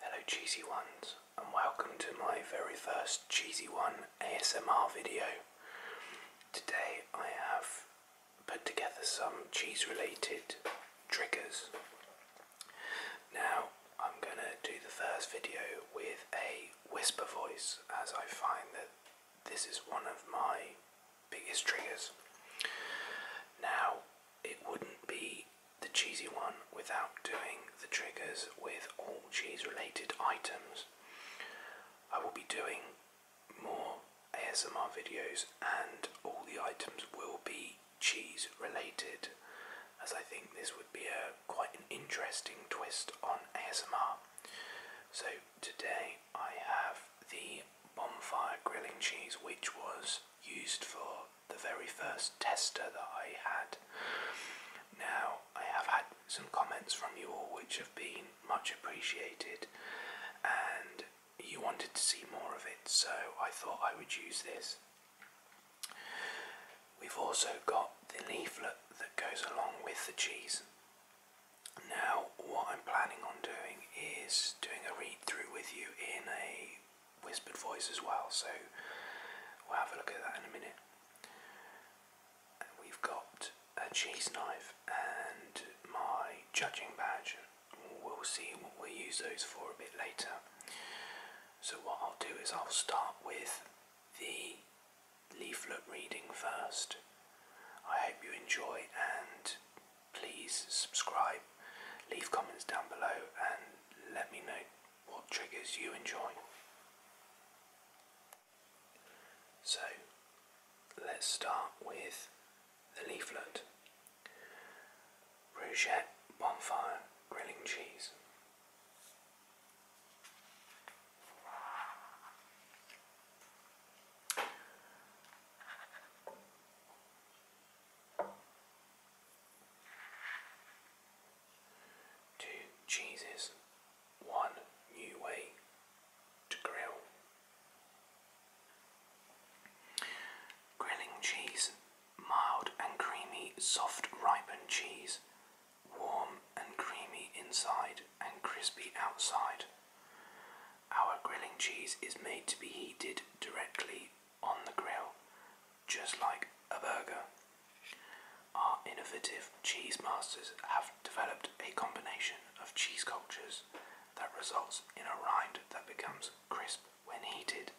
Hello cheesy ones and welcome to my very first cheesy one ASMR video. Today I have put together some cheese related triggers. Now I'm going to do the first video with a whisper voice, as I find that this is one of my biggest triggers. Now, it wouldn't be the cheesy one without doing the triggers with all cheese related items. I will be doing more ASMR videos and all the items will be cheese related as I think this would be a quite an interesting twist on ASMR. So today I have the bonfire grilling cheese, which was used for the very first tester that I had. Now I have had some comments from you all which have been much appreciated, and you wanted to see more of it, so I thought I would use this. We've also got the leaflet that goes along with the cheese, now, what I'm planning on doing is doing a read through with you in a whispered voice as well, so we'll have a look at that in a minute. we've got a cheese knife and my judging badge. We'll see what we'll use those for a bit later. So, what I'll do is I'll start with the leaflet reading first. I hope you enjoy and please subscribe, leave comments down below and let me know what triggers you enjoy. So let's start with the leaflet. Bruschette, bonfire, grilling cheese. Two cheeses, one new way to grill. Grilling cheese, mild and creamy, soft ripened cheese warm and creamy inside and crispy outside. Our grilling cheese is made to be heated directly on the grill, just like a burger. Our innovative cheese masters have developed a combination of cheese cultures that results in a rind that becomes crisp when heated.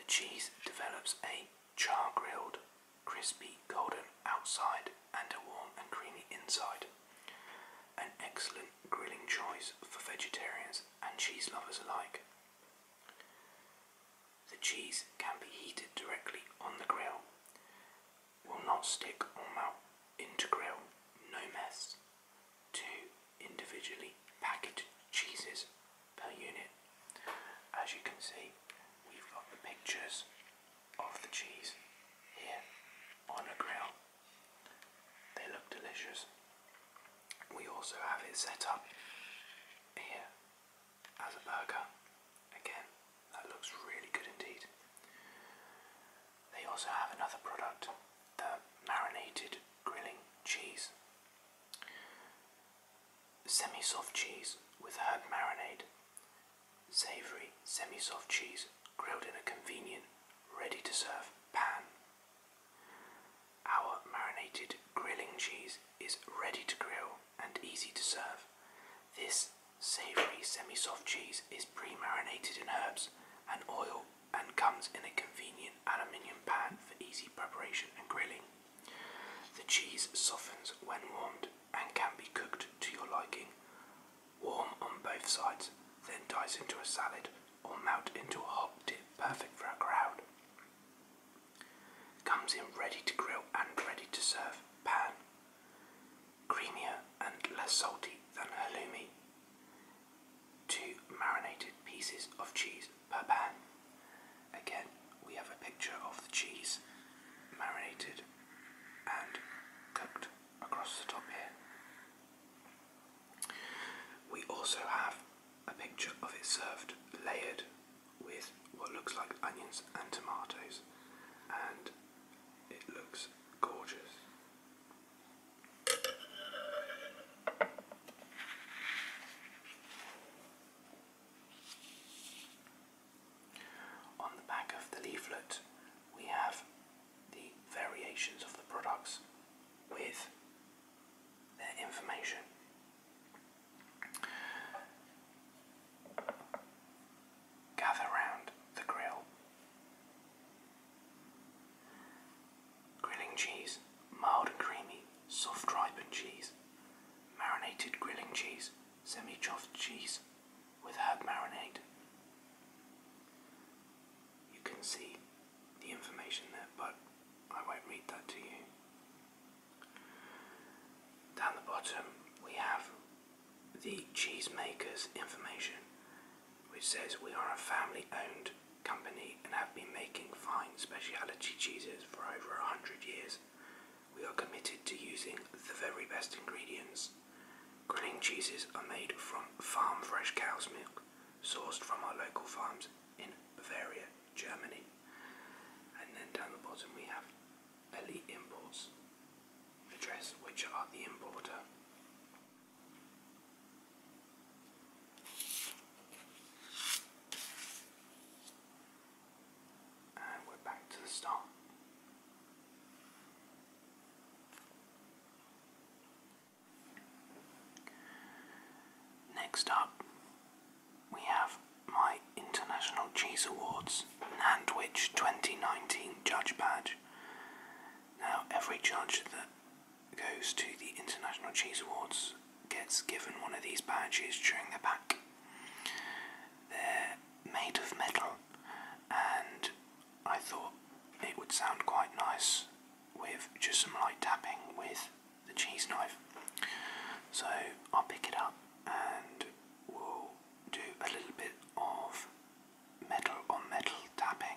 The cheese develops a char grilled crispy golden outside and a warm and creamy inside. An excellent grilling choice for vegetarians and cheese lovers alike. The cheese can be heated directly on the grill, will not stick or melt into grill, no mess. Two individually packaged cheeses per unit. As you can see, we've got the pictures of the cheese here on a grill. They look delicious. We also have it set up here as a burger. Again, that looks really good indeed. They also have another product, the marinated grilling cheese. Semi soft cheese with herb marinade. Savory, semi-soft cheese grilled in a convenient, ready-to-serve pan. Our marinated grilling cheese is ready to grill and easy to serve. This savory semi-soft cheese is pre-marinated in herbs and oil and comes in a convenient aluminium pan for easy preparation and grilling. The cheese softens when warmed and can be cooked to your liking. Warm on both sides, then dice into a salad or melt into a hot dip perfect for a crowd. Comes in ready to grill and ready to serve, pan. Creamier and less salty than halloumi. Two marinated pieces of cheese per pan. Again, we have a picture of the cheese marinated and cooked across the top here. We also have a picture of it served layered with what looks like onions and tomatoes, and it looks gorgeous. On the back of the leaflet, we have the variations of the products with their information. Gather round the grill. Grilling cheese, mild and creamy, soft ripened cheese, marinated grilling cheese, semi chopped cheese, with herb marinade. You can see the information there, but I won't read that to you. Down the bottom, we have the cheesemaker's information, which says we are a family owned company and have been making fine specialty cheeses for over a hundred years. We are committed to using the very best ingredients. Grilling cheeses are made from farm fresh cow's milk, sourced from our local farms in Bavaria, Germany. And then down the bottom we have Elite Imports, which are the importer. And we're back to the start. Next up, we have my International Cheese Awards and which 2019 Judge Badge. Now, every judge that goes to the International Cheese Awards gets given one of these badges during the pack. they made of metal, and I thought it would sound quite nice with just some light tapping with the cheese knife. So I'll pick it up and we'll do a little bit of metal on metal tapping.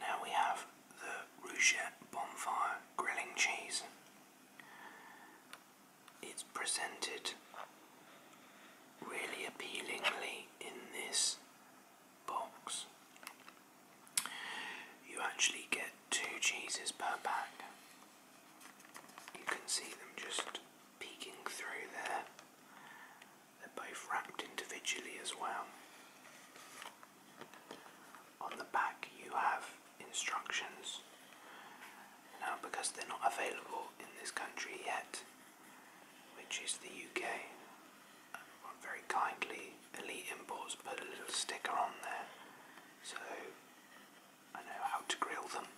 Now we have the Rouchette Bonfire Grilling Cheese. It's presented really appealingly in this box. You actually get two cheeses per pack. You can see them just peeking through there. They're both wrapped individually as well. On the back, you have instructions. Now, because they're not available in this country yet, which is the UK. And very kindly, Elite Imports put a little sticker on there so I know how to grill them.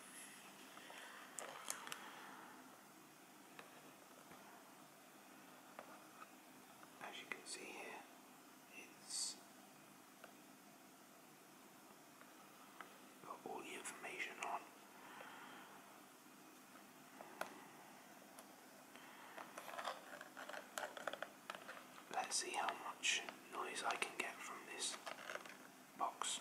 As you can see here, it's got all the information on Let's see how much noise I can get from this box.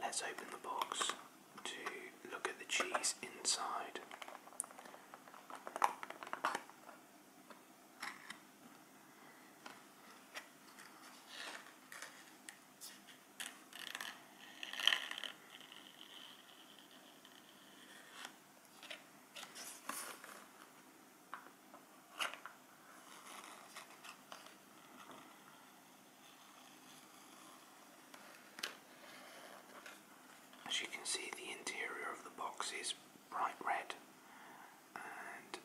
Let's open the box to look at the cheese inside. As you can see, the interior of the box is bright red and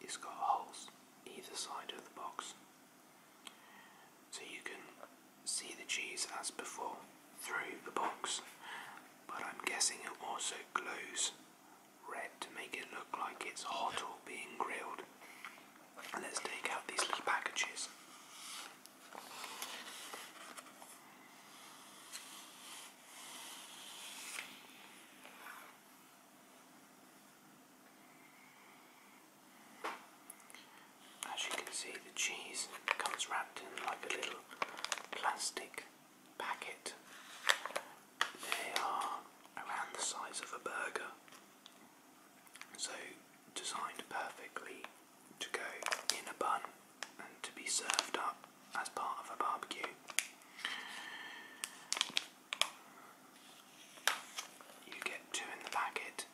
it's got holes either side of the box. So you can see the cheese as before through the box, but I'm guessing it also glows red to make it look like it's hot or being grilled. let's take out these little packages. As you can see, the cheese comes wrapped in like a little plastic packet. They are around the size of a burger, so designed perfectly to go in a bun and to be served up as part of a barbecue. You get two in the packet.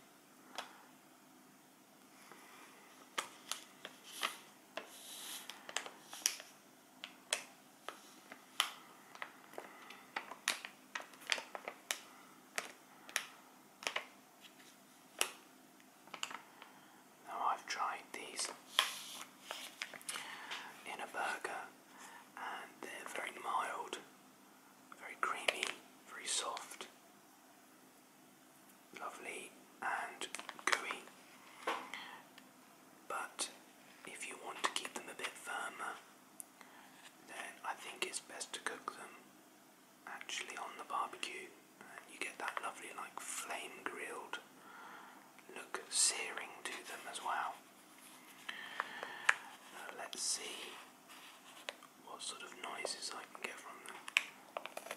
Now I've tried these in a burger and they're very mild, very creamy, very soft, lovely and gooey but if you want to keep them a bit firmer, then I think it's best to cook them actually on the barbecue. And you get that lovely, like, flame grilled look searing to them as well. let's see what sort of noises I can get from them.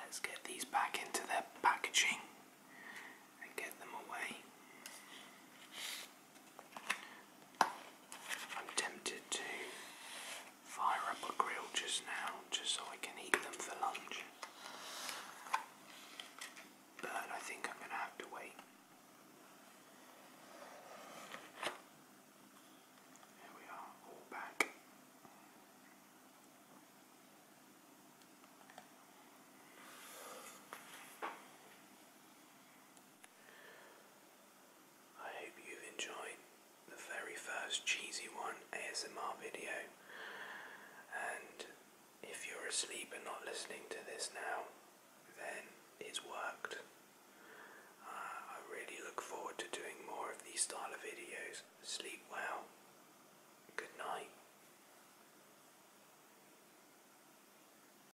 Let's get these back into their packaging and get them away. I'm tempted to fire up a grill just now, just so I can eat them for lunch. But I think I'm going to have to wait. There we are, all back. I hope you've enjoyed the very first Cheesy One ASMR video. And if you're asleep and not listening to this now, then it's worked. Uh, I really look forward to doing more of these style of videos. Sleep well. Good night.